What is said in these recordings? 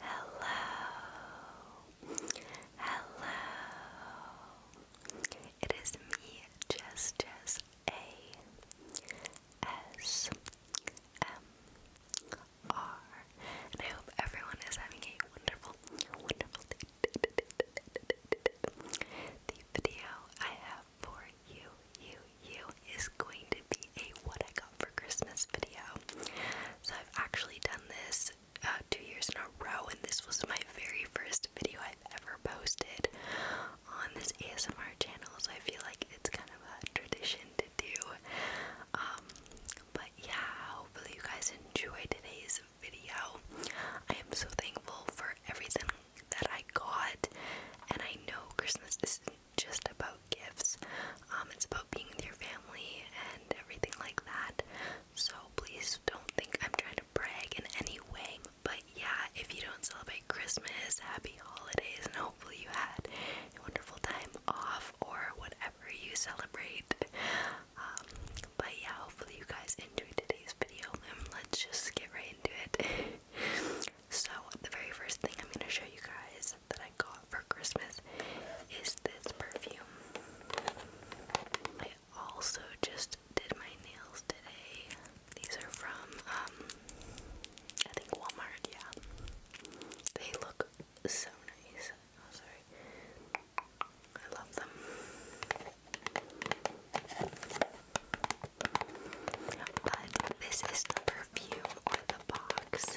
Hello, hello. It is me, Jess Jess A S M R, and I hope everyone is having a wonderful, wonderful day. The video I have for you, you, you is going to be a what I got for Christmas video. So I've actually done this uh, two years in a row, and this was my very first video I've ever posted on this ASMR channel. So I feel like it's kind of a tradition to do. Um, but yeah, hopefully you guys enjoy today's video. I am so thankful for everything that I got, and I know Christmas isn't just about gifts. Um, it's about being with your family and everything like that. So please don't think I'm trying to brag in any way. But yeah, if you don't celebrate Christmas, happy holidays, and hopefully you had a wonderful time off or whatever you celebrate. Um, but yeah, hopefully you guys enjoyed today's video, let's just get right into it. so the very first thing I'm gonna show you guys that I got for Christmas is this perfume. I also just did my nails today. These are from, um, I think Walmart, yeah. They look so nice. Oh, I love them. But this is the perfume or the box.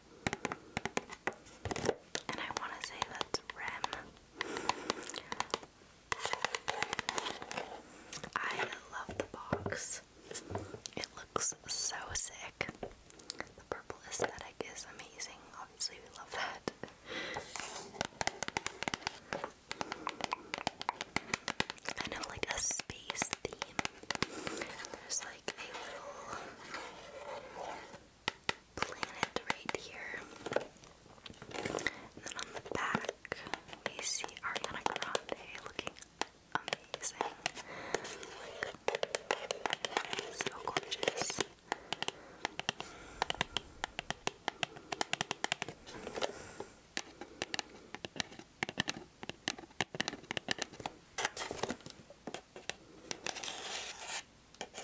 and I want to say that's Rem. I love the box. It looks so sick. The purple aesthetic is amazing. Obviously, we love that. Kind of like a space theme. There's like a little planet right here. then on the back, we see Ariana Grande looking amazing. Like, so gorgeous. And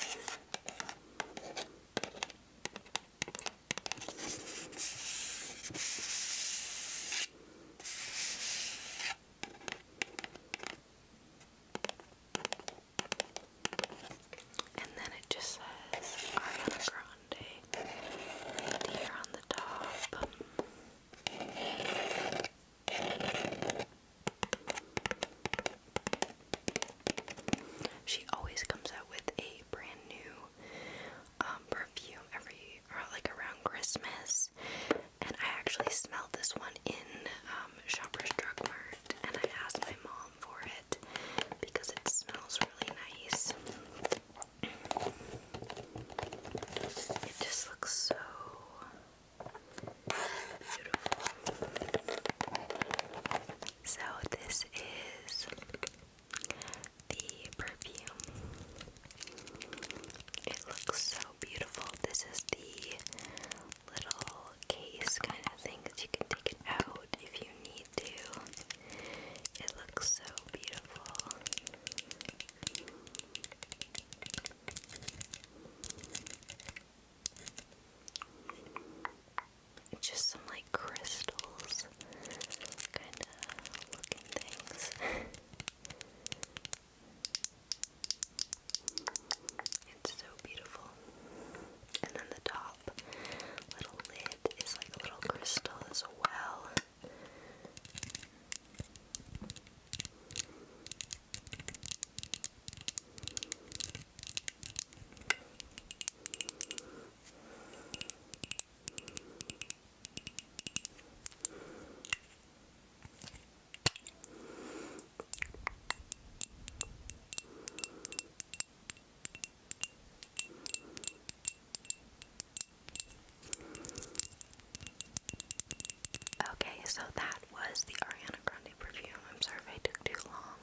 then it just says Ariana Grande here on the top. She always comes out with a brand new um, perfume every like around Christmas, and I actually smelled this one in um, Shoppers Drug Mart, and I asked my mom for it because it smells really nice. It just looks so so this is the perfume. It looks so beautiful. This is the little case kind of thing that you can take it out if you need to. It looks so beautiful. Just some like crystals kind of looking things. it's so beautiful. And then the top little lid is like a little crystal as well. Okay, so that was the Ariana Grande perfume. I'm sorry if I took too long.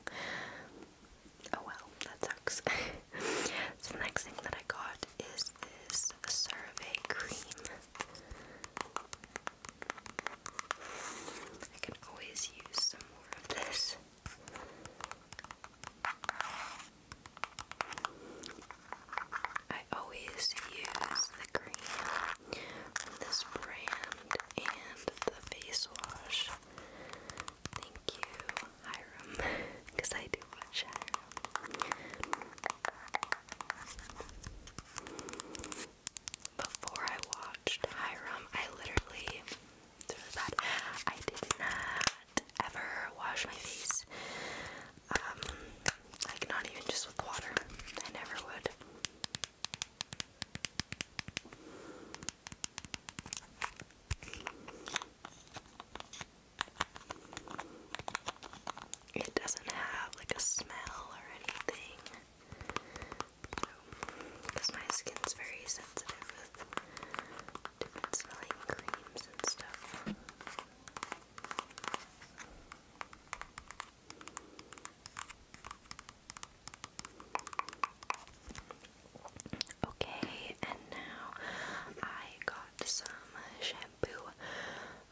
Oh well, that sucks. the next thing that I got is this survey cream. I can always use some more of this. I always use the cream this brand and the face wash. Thank you, Hiram, because I do watch Hiram. Before I watched Hiram, I literally through that I did not ever wash my face. Um, like not even just with water. I never would. It doesn't have like a smell or anything. Because my skin's very sensitive with different smelling creams and stuff. Okay, and now I got some shampoo.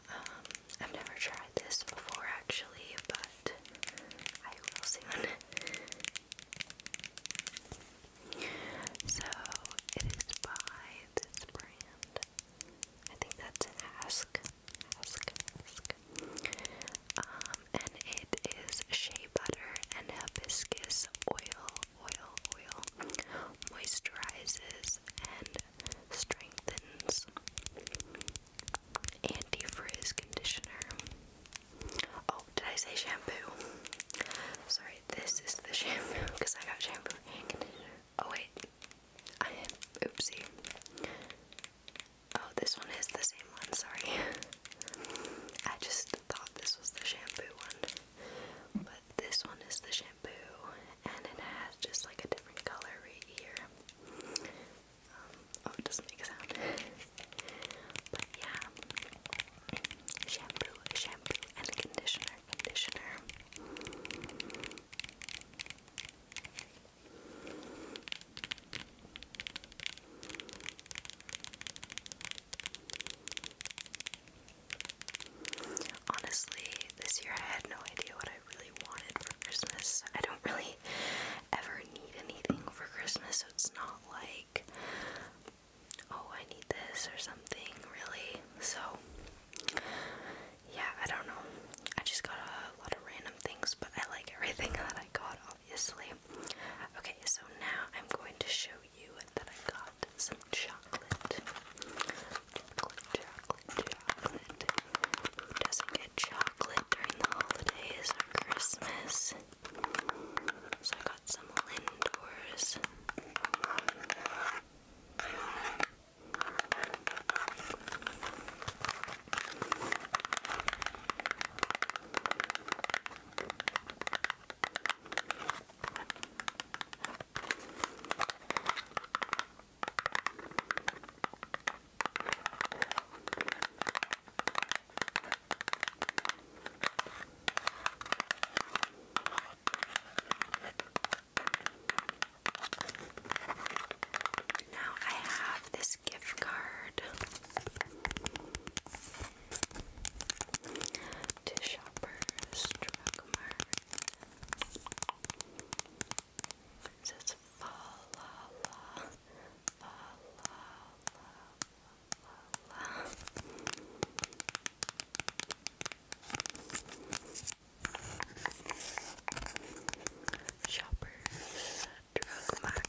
Um, I've never tried this before actually, but I will soon. So it is by this brand. I think that's an ask. Ask, ask. Um, and it is shea butter and hibiscus oil, oil, oil, moisturizes and strengthens, anti-frizz conditioner. Oh, did I say shampoo? Sorry, this is the shampoo because I got shampoo and conditioner. Oh wait, oopsie. Oh, this one is the same one, sorry. I just thought this was the shampoo one. But this one is the shampoo, and it has just like a different color right here. Um, oh, it doesn't make sound. But yeah, shampoo, shampoo, and conditioner, conditioner. Honestly, this year I had no idea what I really wanted for Christmas. I don't really ever need anything for Christmas, so it's not like, oh, I need this or something, really. So, yeah, I don't know. I just got a lot of random things, but I like everything that I got, obviously. Okay, so now I'm going to show you that I got some chocolate. doesn't get chocolate during the holidays or Christmas? So I got some Lindors. Now I have this gift card to Shoppers Shoppers drug mart.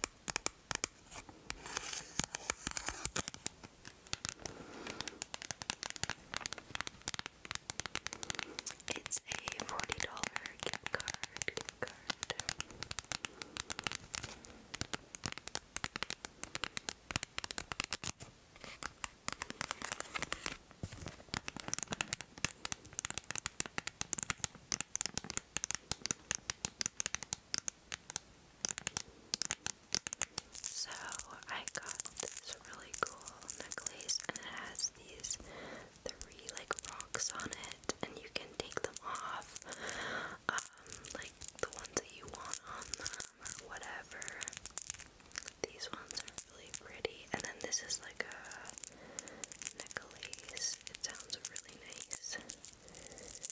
It's a forty dollar Gift card. So I got this really cool necklace and it has these three like rocks on it and you can take them off um, like the ones that you want on them or whatever. These ones are really pretty and then this is like a necklace. It sounds really nice.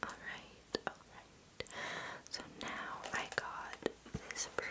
Alright, alright. So now I got this perfume.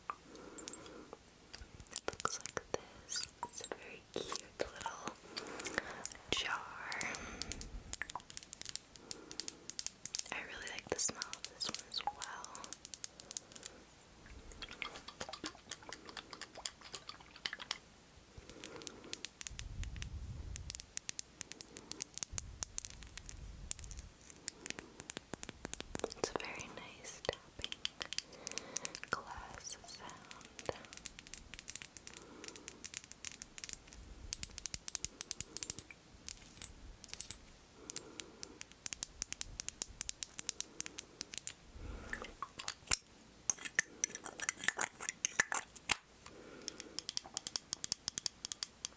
It looks like this. It's a very cute little jar. I really like the smell of this one as well. I it's a very nice tapping glass sound.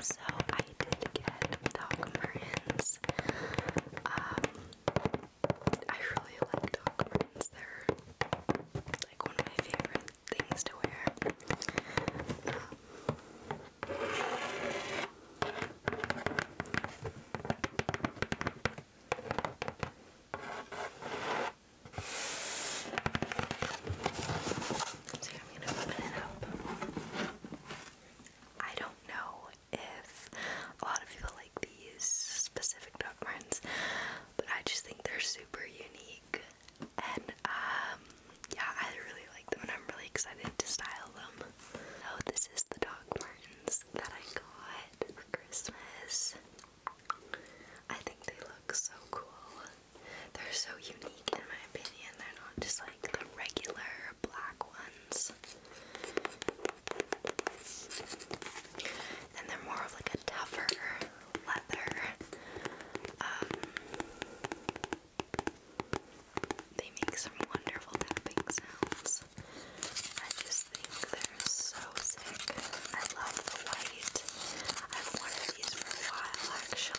So I did get Doc Martens. Um, I really like Doc Martens. They're like one of my favorite things to wear. Um, so I'm gonna open it up. I don't know if a lot of people like these specific dog brands, but I just think they're super unique. And um, yeah, I really like them and I'm really excited to style them. So this is the dog Martens that I got for Christmas. I think they look so cool. They're so unique in my opinion. They're not just like the regular black ones. And they're more of like a tougher leather. Um, they make some wonderful tapping sounds. I just think they're so sick. I love the white. I've wanted these for a while actually.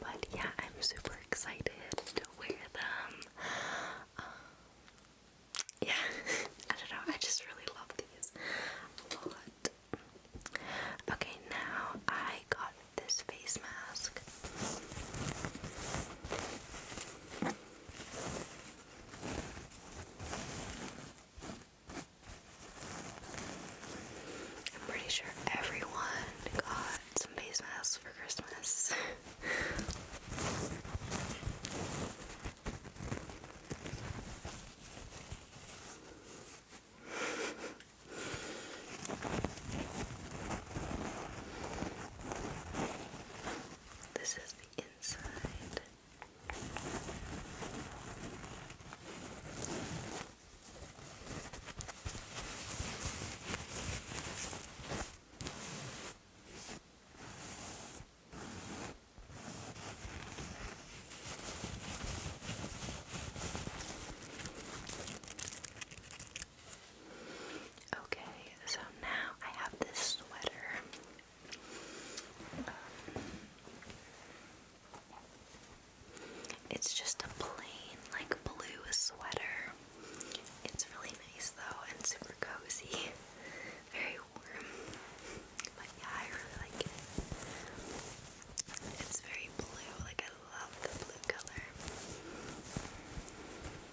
But yeah, I'm super excited to wear them. Um, yeah, I don't know, I just really love these a Okay, now I got this face mask. I'm pretty sure everyone got some face masks for Christmas. This is the inside. Okay, so now I have this sweater. it's just a plain, like, blue sweater. It's really nice though and super cozy. Very warm. But yeah, I really like it. It's very blue. Like, I love the blue color.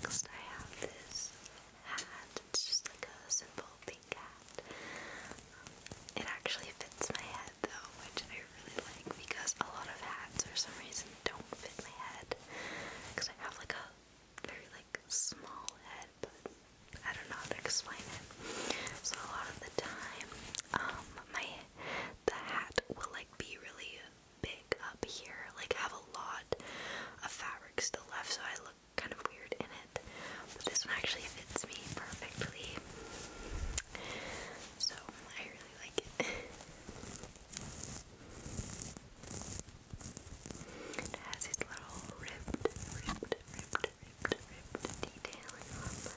Next, I have this hat. It's just like a simple pink hat. it actually fits my head though, which I really like because a lot of hats for some reason don't fit my head. Because I have like a very like small head, but I don't know how to explain it. So a lot of the time, um, my the hat will like be really big up here, like have a lot of fabric still left, so I look kind of weird in it. But this one actually fits me perfectly. So I really like it. It has its little ribbed, ribbed, ribbed, ribbed, ribbed detailing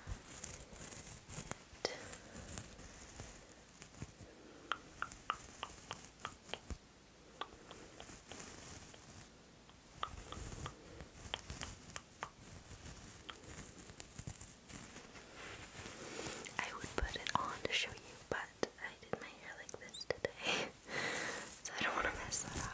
I would put it on to show you, but I did my hair like this today, so I don't want to mess that up.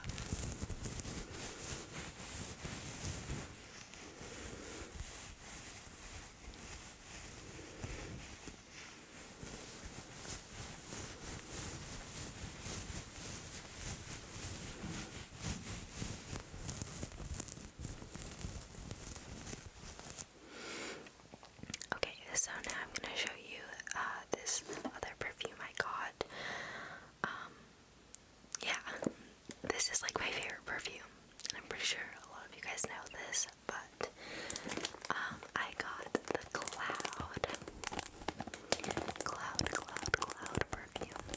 Okay, so now I'm going to show you uh, this other perfume I got. Um, yeah, this is like my favorite perfume. I'm pretty sure a lot of you guys know this, but um, I got the Cloud, Cloud, Cloud, Cloud perfume.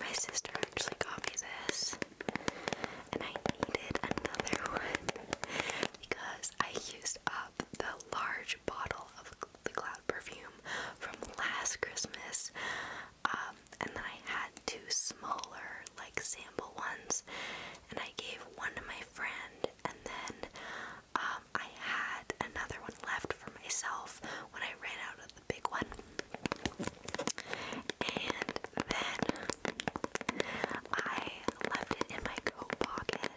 My sister actually got me this, and I needed another one because I used up the large bottle of the Cloud perfume from last Christmas. Um, and then I had two smaller, like sample ones, and I gave one to my friend, and then um, I had another one left for myself when I ran out of the big one. And then I left it in my coat pocket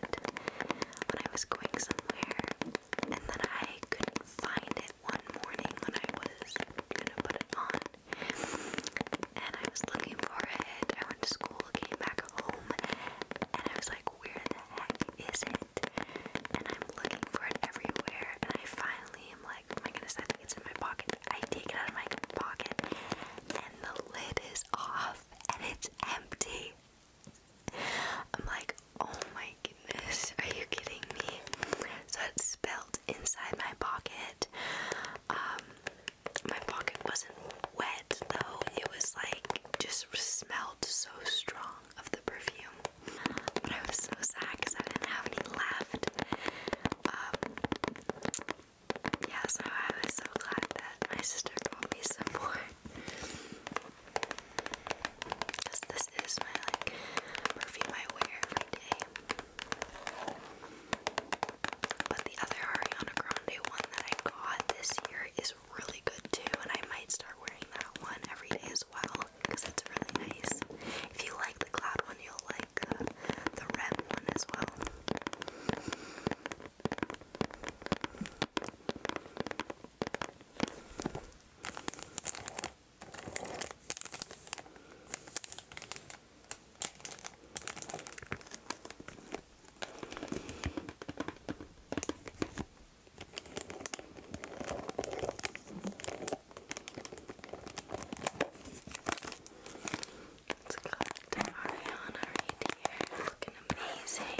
when I was going somewhere, and then I couldn't find it one morning when I was gonna put it on, and I was looking for it. I went to school, came back home, and I was like, where the heck is it? And I'm looking for it everywhere, and I finally am like, oh my goodness, I think it's in my pocket. I take it out of my pocket, and the lid is off, and it's empty. I'm like, oh my goodness, are you kidding me? So it spilled inside my pocket. Um, my pocket wasn't wet though, it was like just smelled so strong of the perfume. But I was so sad because I didn't have any left. Um, yeah, so I was so glad that my sister brought me some more. Because this is my perfume I wear every day. But the other Ariana Grande one that I got this year is really good too, and I might start wearing that one every day as well because it's really nice. If you like the cloud one, you'll like uh, the red one as well. It's got Ariana right here, looking amazing.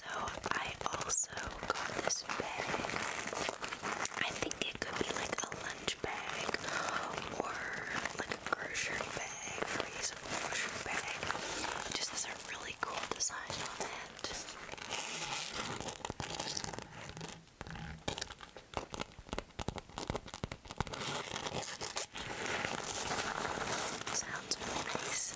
So I also got this bag. I think it could be like a lunch bag or like a grocery bag or just a really cool design on it. Sounds nice.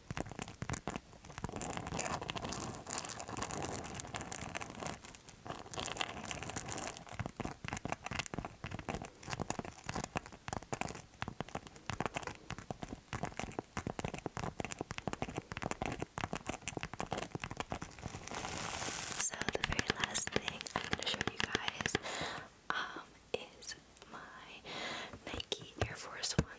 So the very last thing I'm going to show you guys um, is my Nike Air Force One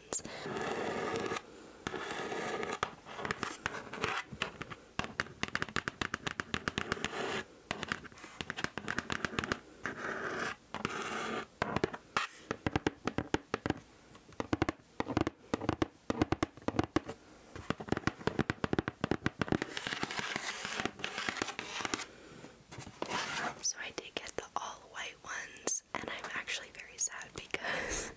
so I did get the all white ones this, and I'm actually very sad because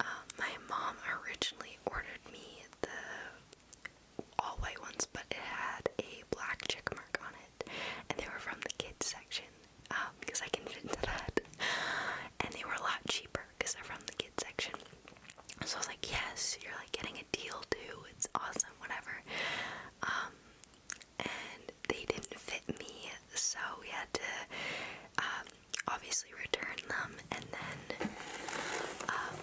um, my mom originally ordered me the all white ones, but it had a black check mark on it, and they were from the kids section um, because I can fit into that, and they were a lot cheaper because they're from the kids section. So I was like, yes, you're like getting a deal too. It's awesome, whatever. Um, and they didn't fit me, so we had to um, obviously return them, and then um,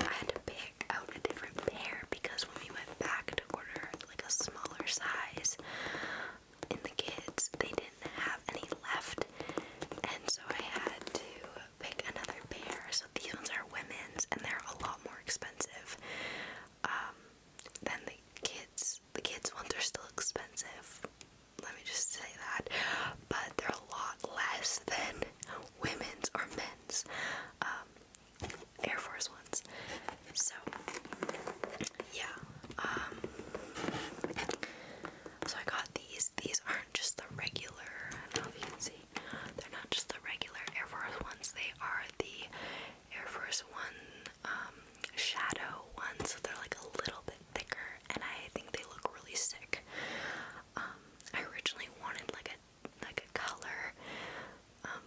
I had to pick out a different pair because when we went back to order like a smaller size in the kids, they didn't have any left, and so I had to pick another pair. So these ones are women's, and they're a lot more expensive. Um, than the kids. The kids ones are still expensive. Let me just say that. But they're a lot less than women's or men's um, Air Force ones. So, yeah. Um, so I got these. These aren't just the regular, I don't know if you can see, they're not just the regular Air Force ones, they are the Air Force One um, shadow One. so they're like a little bit thicker, and I think they look really sick. Um, I originally wanted like a like a color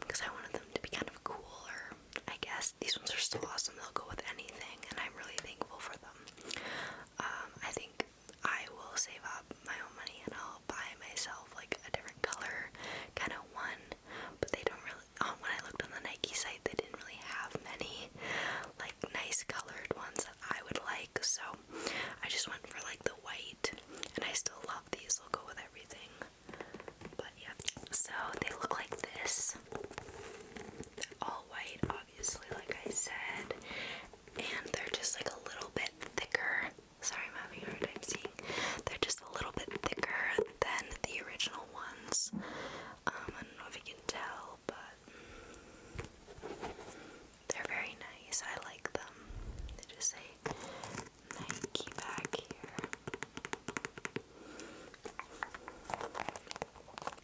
because um, I wanted them to be kind of cooler. I guess these ones are still awesome; they'll go with anything, and I'm really thankful for them. I think I will save up my own money and I'll buy myself like a different color, kind of one but they don't really. Um, when I looked on the Nike site, they didn't really have many like nice colored ones that I would like, so I just went for like the white, and I still love these. They'll go with everything, but yeah. So they look like this. They're all white, obviously, like I said, and they're just like a little bit thicker. Sorry, I'm having a hard time seeing. They're just a little bit thicker than the original little um, I don't know if you can tell, but they're very nice. I like them. They just say Nike back here.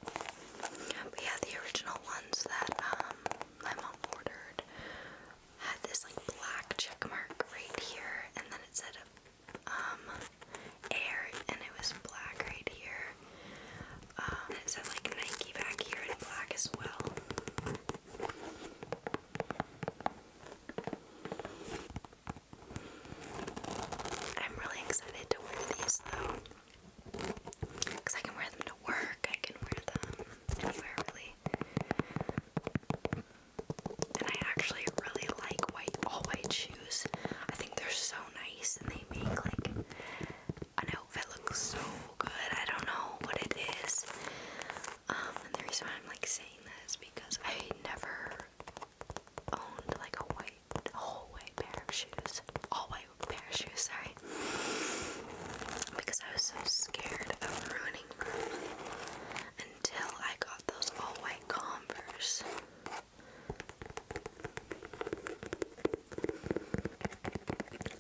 But yeah, the original ones that um, my mom ordered had this like black check mark right here, and then it said um, air, and it was black right here. Um, it said like Nike back here in black as well. I'm really excited to wear these though. Because I can wear them to work, I can wear them anywhere really. And I actually really like white all white shoes. I think they're so nice and they make like an outfit look so good. I don't know what it is. Um, and the reason why I'm like saying this because I never owned like a white all white pair of shoes. All white pair of shoes, sorry. Because I was so scared of ruining them until I got those all white Converse.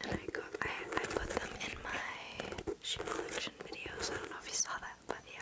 And I got I, I put them in my shoe collection videos. I don't know if you saw that, but yeah.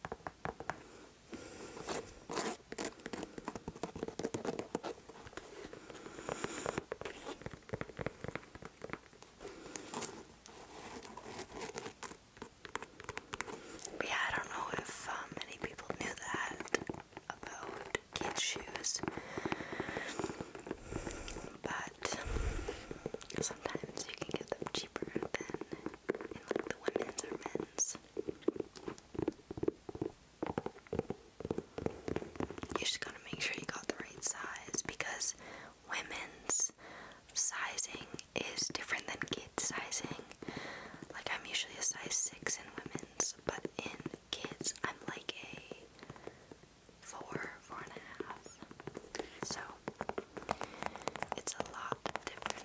But yeah, I don't know if um, many people knew that about kids' shoes, but sometimes you can get them cheaper than like the women's or men's. You just gotta make sure you got the right size because women's sizing is different than kids' sizing. Like, I'm usually a size 6 in women's, but in kids, I'm like a four, four and a half. So, it's a lot different.